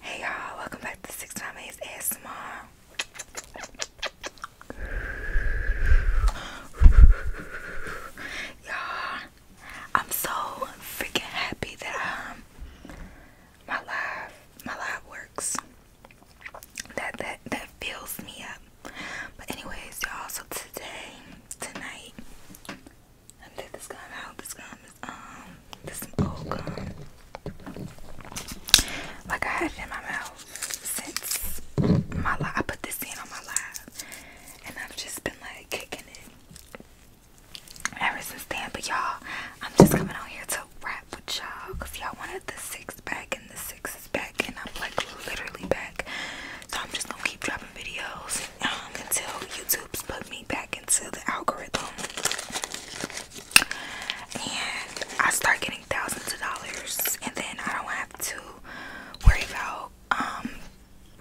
Hey y'all, welcome back to Six Time A's ASMR. y'all, I'm so freaking happy that um my live my live works. That that that fills me up. But anyways, y'all, so today, tonight, let me this gun out. This gun um, this is some Like I had it in my mouth since my life. I put this in on my live, and I've just been like kicking it ever since then. But y'all, I'm just coming on here to rap with y'all because y'all wanted the six back, and the six is back, and I'm like literally back. So I'm just gonna keep dropping videos um, until YouTube's put me back into the algorithm. And I start getting thousands of dollars, and then I don't have to worry about um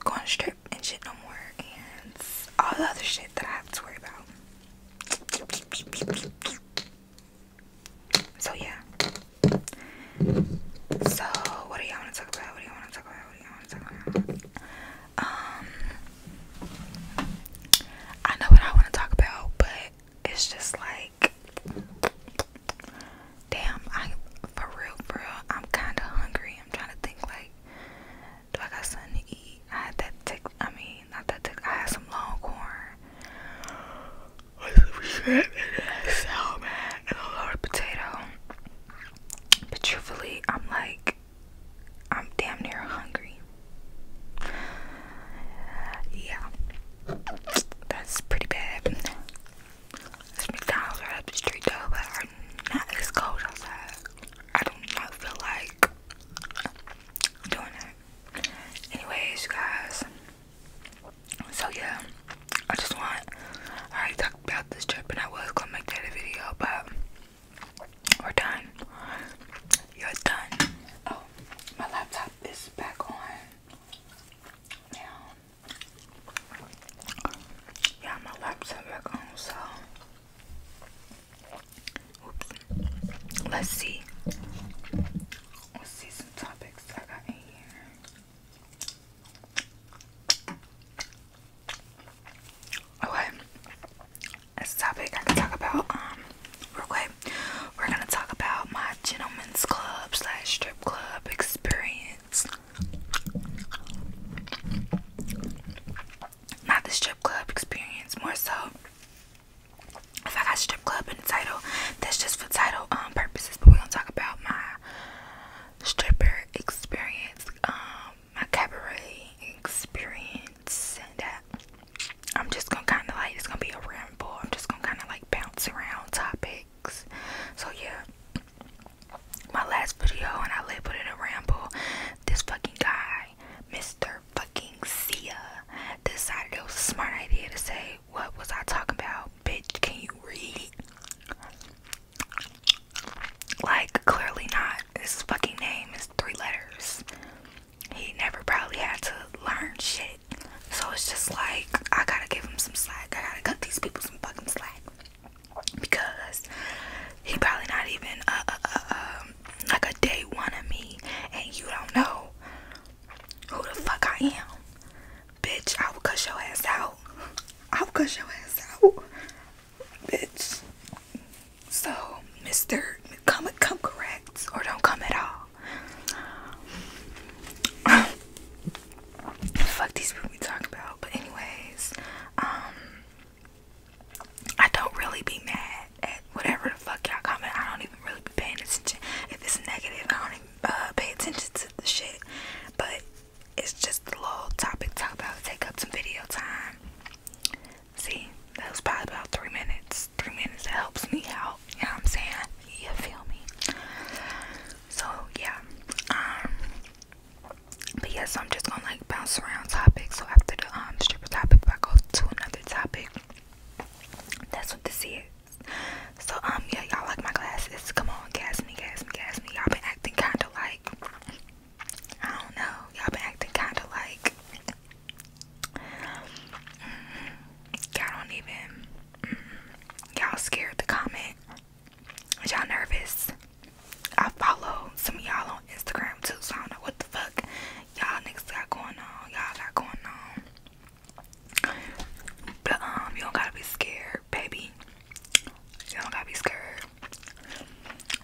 going strip and shit no more, and all the other shit that I have to worry about. So yeah. So what do y'all want to talk about? What do y'all want to talk about? What do y'all want to talk about? Um, I know what I want to talk about, but it's just like, damn, I for real, for I'm kind of hungry. I'm trying to think like, do I got something to eat? I had that tick. I mean, not that tick. I had some long corn, so bad. And a lot potato. But truthfully, I'm like, I'm damn near hungry. Yeah, that's pretty bad. This McDonald's right up the street though, but not as cold outside. I do not feel like doing that. Anyways, guys. So yeah, I just want I already talked about this trip and I was gonna make that a video, but we're done. You're done. Oh, my laptop is back on. Yeah. Yeah, my laptop back on, so Let's see. Let's see some topics I got in here. Okay, that's a topic I can talk about. Um, real quick, we're gonna talk about my gentlemen's club slash strip club experience. Not the strip club experience, more so. If I got strip club in the title, that's just for title um purposes. But we're gonna talk about my stripper experience. Um, my cabaret experience and I'm just gonna kind of like it's gonna be a ramble. I'm just gonna kind of like bounce around topics. So yeah, my last video and I labeled it a ramble. This fucking guy, Mr. Fucking Sia, decided it was a smart idea to say, "What was I talking about, bitch? Can you read?" Like, clearly not. His fucking name is three letters. He never probably had to learn shit. So it's just like, I gotta give him some slack. I gotta cut these people some fucking slack. Because he probably not even uh, uh, uh, um, like a day one of me. And you don't know who the fuck I am. Bitch, I will cut your ass out. I will cut your ass out bitch. So, Mr. Come come correct or don't come at all. Fuck these people we talk about. But anyways, um I don't really be mad at whatever the fuck y'all comment. I don't even really be paying attention. If it's negative, I don't even uh, pay attention to the shit. But it's just a little topic talk about. Take up some video time. See, that was probably about three minutes. Three minutes that helps me out. Yeah, I'm saying? You feel me? So yeah. Um, but yeah, so I'm just gonna like bounce around topics. So after the um stripper topic, I go to another topic. That's what this is. So um yeah, y'all like my glasses. Come on, gas me, gas me, gas me. Y'all been acting kinda like I don't know. Y'all been acting kind of like. Mm, y'all don't even. Mm, y'all scared to comment. Y'all nervous. I follow some y'all on Instagram too, so I don't know what the fuck y'all niggas got going on. Y'all got going on. But um, you do gotta be scared, baby. You do gotta be scared.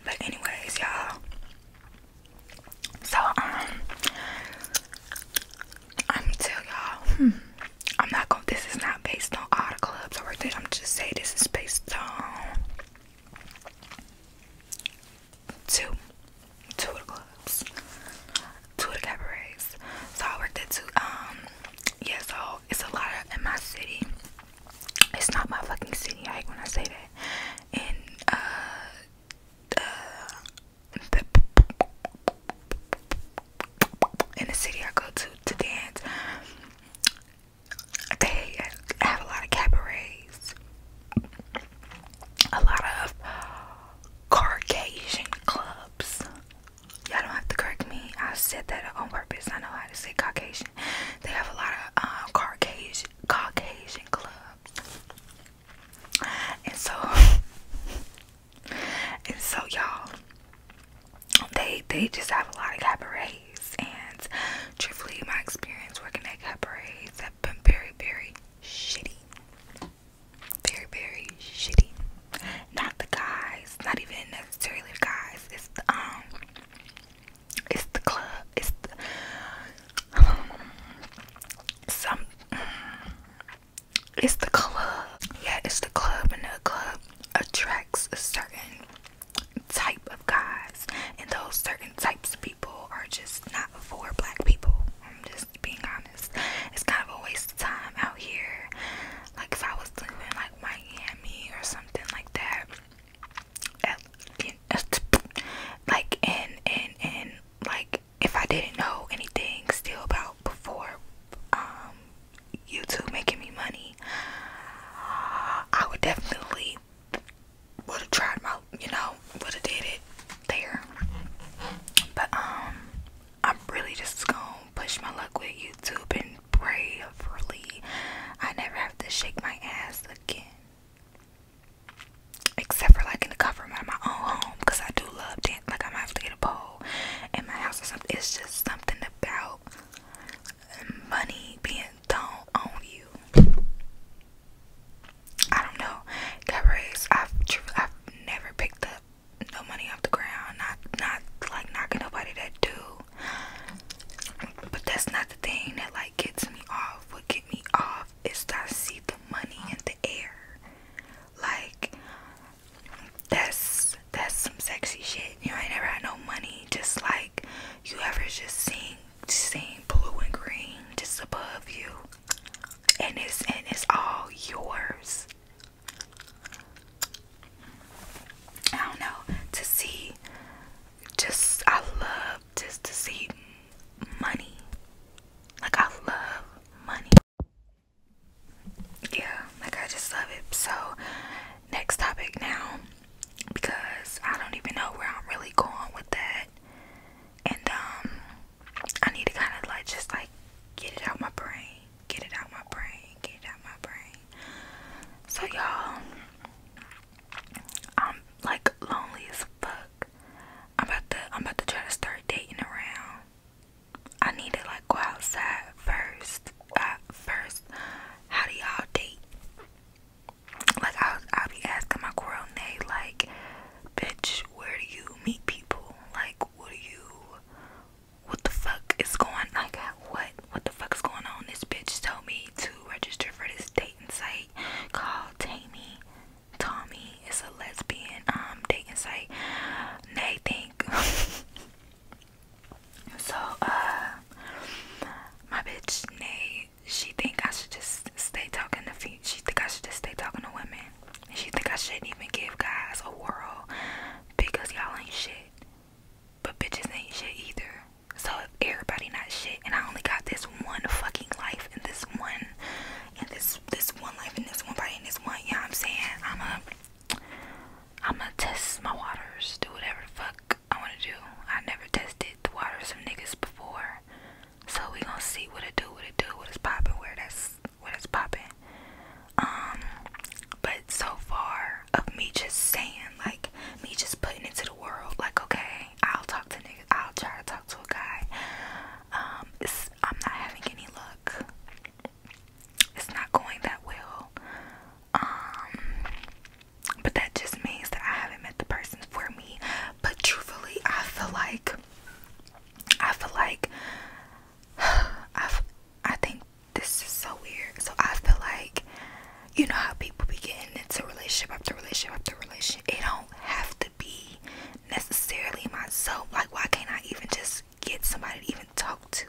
But anyways, y'all. So um I'm going y'all, hmm, I'm not gonna this is not based on all the clubs I or at. I'm just saying this is based on two. Two clubs. Two cabarets. So I worked at two um yeah, so it's a lot in my city. It's not my fucking city. I hate when I say that. And uh, uh, the in the city I go to to dance, they have a lot of cabarets, a lot of Caucasian clubs. Y'all don't have to correct me. I said that on purpose. I know how to say Caucasian. They have a lot of um, uh, Caucasian Caucasian clubs, and so and so y'all, they they just have a lot of cabarets. And truthfully, my experience working at cabarets have been very very shitty, very very shitty. Not the guys, not even necessarily guys. It's um it's the club it's the um, some it's the club yeah it's the club and the club attracts a certain type of guys and those certain types of people are just not for black people i'm just being honest it's kind of a waste of time out here like if i was living like miami or something like that like and and and like if I didn't know anything still about before um YouTube making me money, I would definitely would have tried my you know would have did it there. But um, I'm really just gonna push my luck with YouTube and pray freely. I never have to shake my ass Except for like in the comfort of my own home, because I do love dance. Like I might have to get a pole in my house or something. It's just something about money being thrown on you. I don't know. Cabarets. I've I've never picked up no money off the ground. Not not like knocking nobody that do. But that's not the thing that like gets me off. What get me off is that I see the money in the air. Like that's that's some sexy shit. You know, I never had no money. Just like you ever just seeing seen blue and green just above you. And it's and it's all yours. I don't know. To see just I love just to see money. Like I love money. Yeah, like I just love it. So next topic now because I don't even know where I'm really going with that. And um I need to kinda like just like get it out my brain. Get it out my brain. Get it out my brain. So y'all I'm like lonely as fuck. I'm about to I'm about to try to start dating around. I need to like go outside first. Uh, first, how do y'all date? Like I'll I'll be asking my girl coronate like, bitch, where do you meet people? Like, what do you? What the fuck is going? Like, what what the fuck's going on? This bitch told me to register for this dating site called Tammy. Tommy is a lesbian um, dating site. Nay think so uh my bitch Nay she think I should just stay talking to she think I should just stay talking to women. she think I shouldn't even give guys a whirl because y'all ain't shit. But bitches ain't shit either. So everybody not shit, and I only got this one fucking life, and this one, and this this one life, and this one and this one. You I'm saying? I'm a, I'm gonna test my waters, do whatever the fuck I wanna do. I never tested the waters of niggas before, so we gonna see what it do, what it do, what it's popping, where that's where it's popping. Um, but so far of me just saying like me just putting it to the world. Like, okay, I'll talk to niggas. I'll try to talk to a guy. Um, it's, I'm not having any luck. It's not going that well. Um, but that just means that I haven't met the person for me. But truthfully, I feel like I feel like I I think this is so weird. So I feel like you know how people be getting into relationship after relationship after relationship. It don't have to be necessarily myself. Like why can't I even just get somebody to even talk to?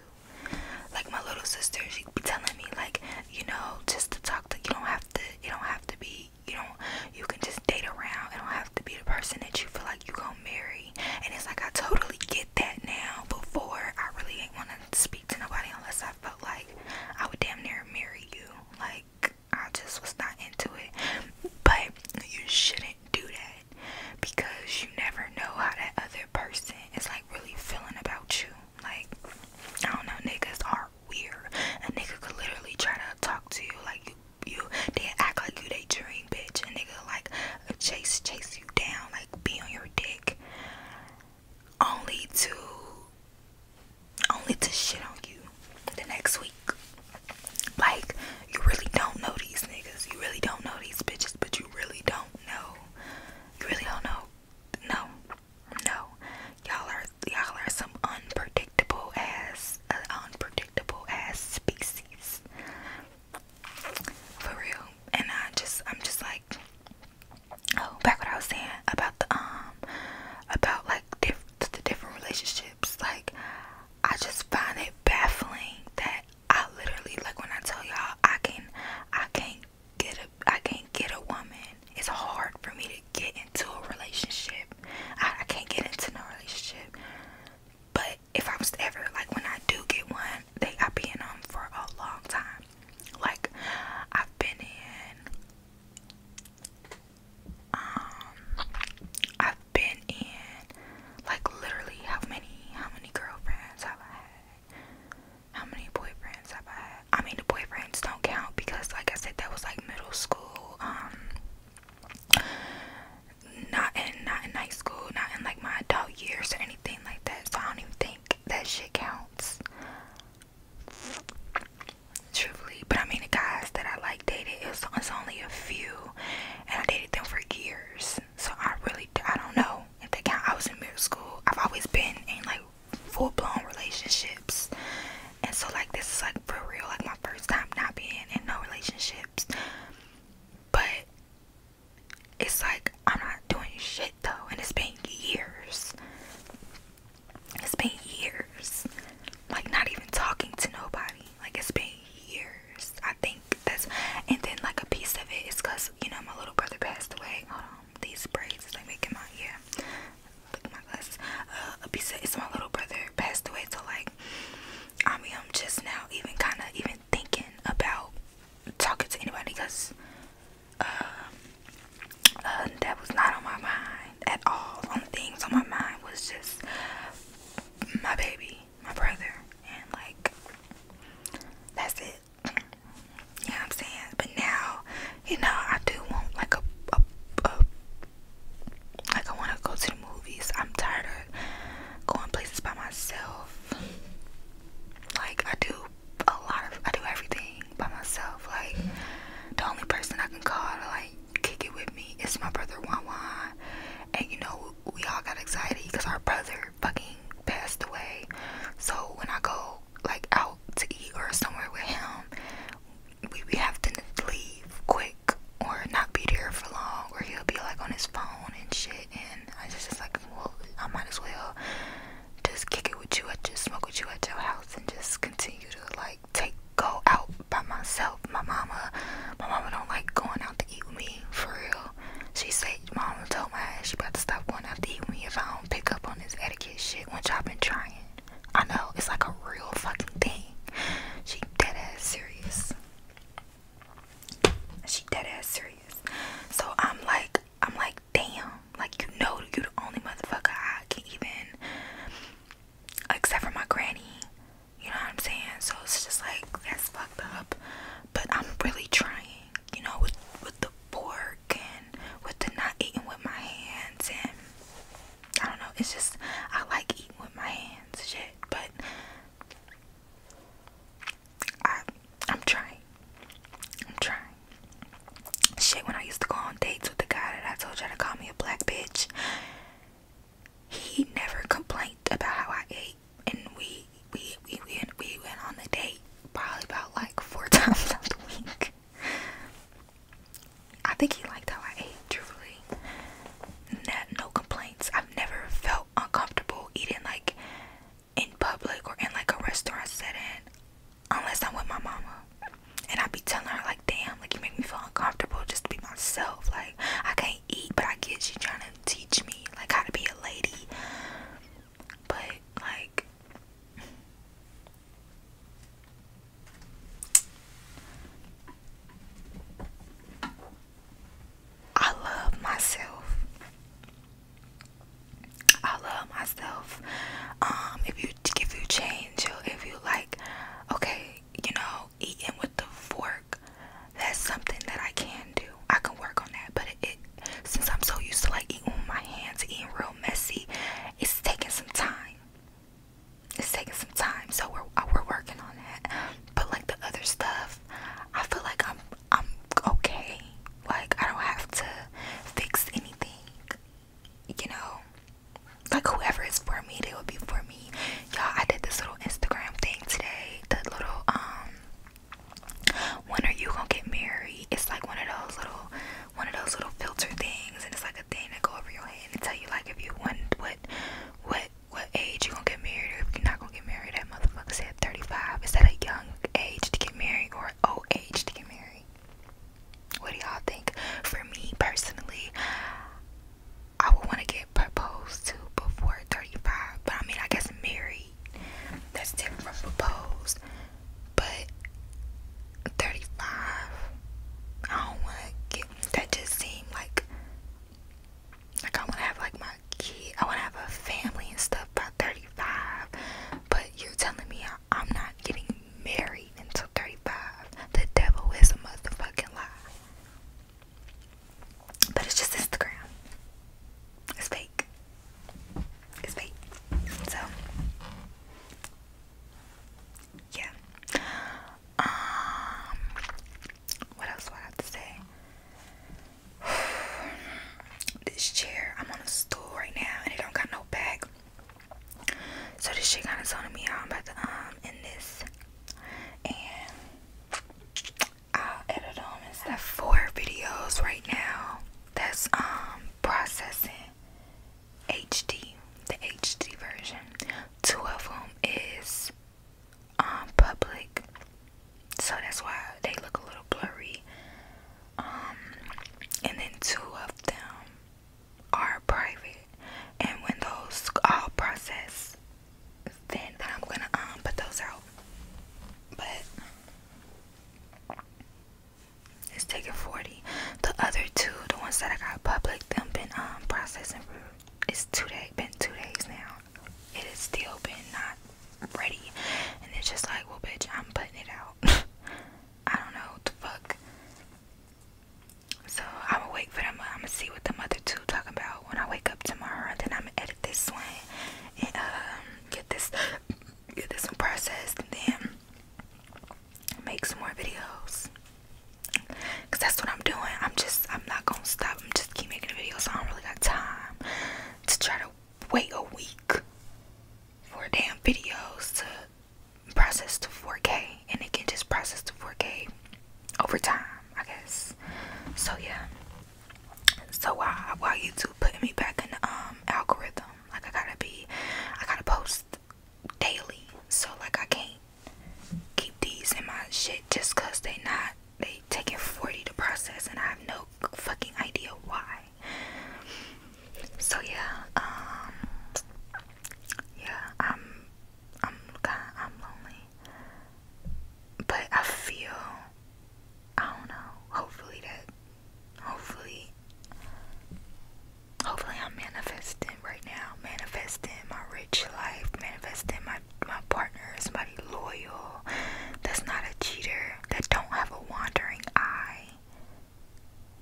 Like my little sister, she be telling me like, you know, just to talk to you don't have to you don't have to be you don't you can just date around. It don't have to be the person that you feel like you gonna marry. And it's like I totally get that now. Before I really ain't wanna speak to nobody unless I felt like I would damn near marry you. Like I just was not into it. But you shouldn't do that because you never know how that other person is like really feeling about you. Like I don't know, niggas are weird. A nigga could literally try to talk to you like you you they act like you they dream bitch and nigga like chase chase you down like be on your dick only to only to shit on you the next week. Like you really don't know these niggas. You really don't know these bitches, but you really don't know. You really don't know. No. No. Y'all are y'all are some unpredictable ass uh, unpredictable ass species. For real. And I just I'm just like oh back what I was saying about the um about like the different relationships like I just find it baffling that I literally like when I tell y'all I can I can't get a I can't get a woman it's hard for me to get into a relationship I, can't get into no relationship but if I was ever like when I do get one they I be in them for a long time like I've been in um I've been in like literally how many how many girlfriends have I had? How many boyfriends have I had? I mean the boyfriends don't count because like I said that was like middle school, um not in not in high school, not in like my adult years or anything like that. So I don't even think that shit counts. Truthfully, but I mean the guys that I like dated, it was, it's only a few, and I dated them for years. So I really, I don't know if they count. I was in middle school. I've always been in like full blown relationships, and so like this is like for real, like my first time not being in no relationships. But it's like I'm not doing shit though, and it's been years. It's been years. Like not even talking to nobody. Like it's been years. I think that's and then like a piece of it is cause you know my little brother passed away. Hold on, these braids as they making my yeah. Look at my glasses. Uh, a piece of it's my little brother passed away. So like I mean I'm just now even kind of even thinking about talking to anybody because um, uh, that was not on my mind at all. On things on my mind was just my baby, my brother, and like that's it. You know what I'm saying? But now, you know, I do want like a, a, a like I want to go to the movies. I'm tired of going places by myself. Like I do a lot of I do everything by myself. Like the only person I can call to like kick it with me is my brother Wan Wan. And you know we all got anxiety because our brother fucking passed away. So when I go like out to eat or somewhere with him, we we have to leave quick or not be there for long or he'll be like on his phone and shit and I just just like well I might as well just kick it with you at just smoke with you at your house and just continue to like take go out by myself. My mama my mama don't like going out to eat with me for real. She said mama told my ass she about to stop going out to eat with me if I don't pick up on this etiquette shit Once I've been trying. I know, it's like a real fucking thing. She dead ass serious. She dead ass serious. So I'm like I'm like damn, like you know, you the only motherfucker I can even, except for my granny. You know what I'm saying? So it's just like that's fucked up. But I'm really trying, you know, with with the fork and with the not eating with my hands and I don't know. It's just I like eating with my hands, shit. But I I'm trying. I'm trying. Shit, when I used to go on dates with the guy that I told you to call me a black bitch, he never complained about how I ate, and we we we went, we went on the date probably about like four times a week. I think he liked how I ate, truly. no complaints. I've never felt uncomfortable eating like in public or in like a restaurant setting unless I'm with my mama. And I would be telling her like, damn, like you make me feel uncomfortable just to be myself. Like I can't eat, but I get you trying to teach me like how to be a lady. But like I love myself. I love myself. Um, if you if you change, or if you like, okay, you know, eating with the fork, that's something that I can do. I can work on that, but it, it since I'm so used to like eating with my hands, eating real messy, it's taking some time. It's taking some time, so we're we're working on that. But like the other stuff, I feel like I'm I'm okay. Like, I don't have to fix anything. You know, like whoever is for me, they will be for me. Y'all, I did this little Instagram thing today. The little, um, when are you gonna get married? It's like one of those little, one of those little filter things, and it's like a thing that go over your head and tell you like if you want what, what, what age you gonna get married, or if you're not gonna get married. That motherfucker said 35. Is that a young age to get married? or old age to get married. What do y'all think? For me personally, I would want to get proposed to before 35, but I mean, I guess married that's different from proposed, but 35, I don't want to get that just seems like like I want to have like my. I want to have a family and stuff by 35. But you're telling me I, I'm not getting married until 35. The devil is a motherfucking lie. But it's just Instagram. It's fake. It's fake. So, yeah. Um, what else do I have to say? this chair, I'm on a stool right now and it don't got no back. So this shit kinda zoning me out. I'm about to um in this and I'll edit them instead of four videos right now. That's um processing HD, the HD version. Two of them is um public so that's why they look a little blurry. Um, and then two of them are private, and when those all process, then, then I'm gonna um put those out. But it's taking forty. The other two, the ones that I got public, them been um processing for it's two days, been two days now. It has still been not ready. And it's just like, well, bitch, I'm putting it out. I don't know what the fuck. So I'm gonna wait for them. I'm gonna see what the mother two talking about when I wake up tomorrow. And then I'm gonna edit this one and um, get this get this one processed and then make some more videos. Cause that's what I'm doing. I'm just I'm not gonna stop. I'm just keep making videos. I don't really got time to try to wait a week for damn videos to process to 4K and it can just process to 4K over time, I guess. So yeah. So while while YouTube putting me back in the um algorithm, like I gotta be I gotta post daily. So like I can't keep these in my shit just cause they not they taking 40 to process and I have no fucking idea why. So yeah, um, yeah, I'm, I'm kind, I'm lonely, but I feel, I don't know. Hopefully that, hopefully, hopefully I'm manifesting right now. Manifesting my rich life. Manifesting my my partner, somebody loyal, that's not a cheater that don't have a wandering eye.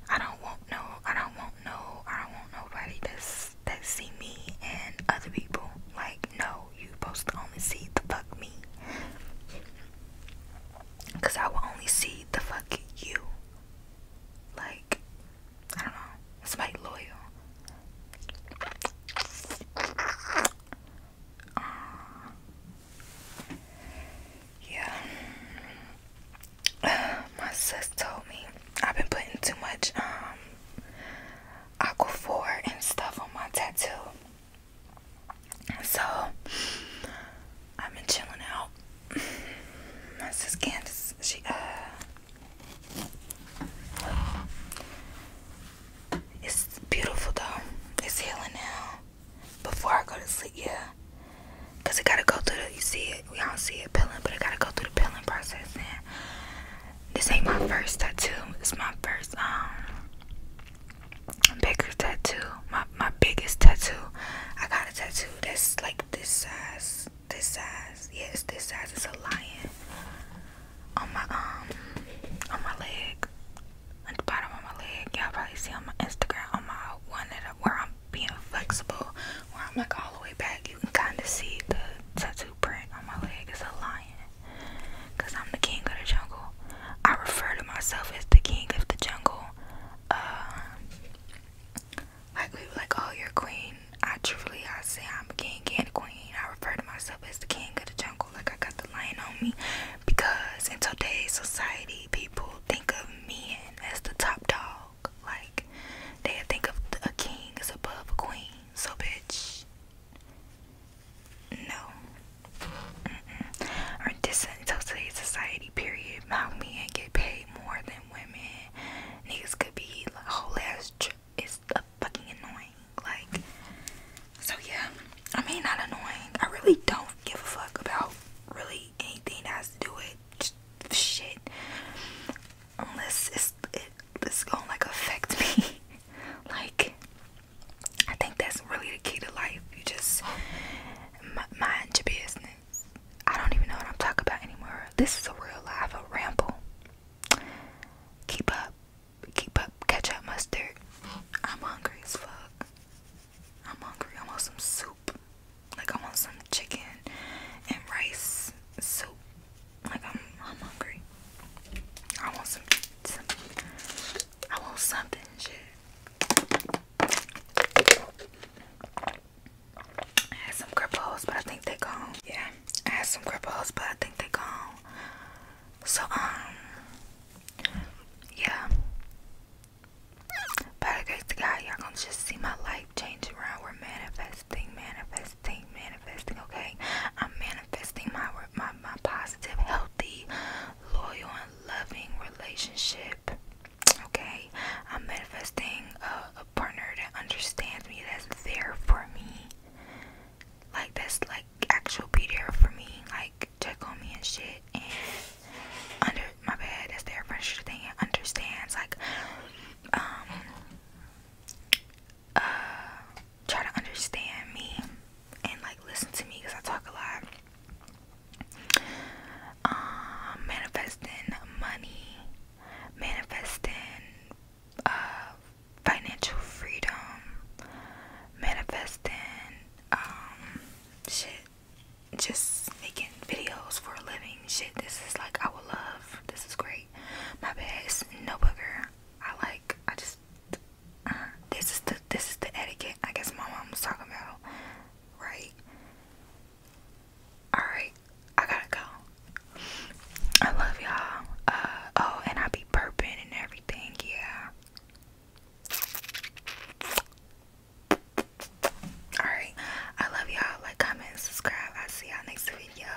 I don't want no I don't want no I don't want nobody to that see me and other people. Like no, you are supposed to only see the fuck me. Cause I will only see the fuck you. Like I don't know. Somebody loyal. Uh, yeah. My sis told me I've been putting too much um four and stuff on my tattoo. So I've been chilling out. My sis Candace, she uh, it's beautiful though. It's healing now. Before I go to sleep, yeah. Cause I gotta go through the, you see it, we don't see it peeling, but I gotta go through the peeling process. And this ain't my first tattoo. It's my first um bigger tattoo. My my biggest tattoo. I got a tattoo that's like this size. This size. Yes, this size. is a lion on my um on my leg at the bottom of my leg. Y'all probably see on my Instagram on my one that I, where I'm being flexible, where I'm like all the way back. You can kind of see the tattoo print on my leg. It's a lion, cause I'm the king of the jungle. I refer to myself as the king of the jungle. Uh, like we were like, oh, you're queen. I truly, I say I'm king and queen. I refer to myself as the king of the jungle like I got the lion on me because in today's society, people think of men as the top dog. Like they think of a king as above a queen. So, bitch, no. Mm -mm. Or this society, period. How men get paid more than women. Niggas could be like whole ass. It's fucking annoying. Like, so yeah. I mean, not annoying. I really don't give a fuck about really anything that has to do with shit, unless it's it, it's gonna like affect me. like, I think that's really the key to life. You just mind your business. I don't even know what I'm talking about anymore. This is a real life, a ramble. Keep up keep up ketchup mustard. I'm hungry as fuck. I'm hungry. I want some soup. Like I want some chicken and rice soup. Like I'm I'm hungry. I want some some I want something shit. I had some cripples, but I think they gone. Yeah, I had some cripples, but I think they gone. So um yeah. By the grace y'all gonna just see my life change around. We're manifesting, manifesting, manifesting. Okay, I'm manifesting my my my positive, healthy, loyal, and loving relationship. Okay, I'm manifesting a, a partner that understands me, that's there for me. Like that's like actual be there for me. Like check on me and shit and under my bed that's their furniture thing understands like um uh try to understand me and like listen to me because I talk a lot. Um manifesting money, manifesting uh, financial freedom, manifesting, um, shit, just making videos for a living. Shit, this is like I would love. This is great. My bad, no bugger. I like. I just. Uh-huh. this is the this is the etiquette. I guess my mom was talking about, right? All right, I gotta go. I love y'all. Uh oh, and I be burping and everything. Yeah. Alright, I love y'all. Like, comment, subscribe. I'll see y'all next video.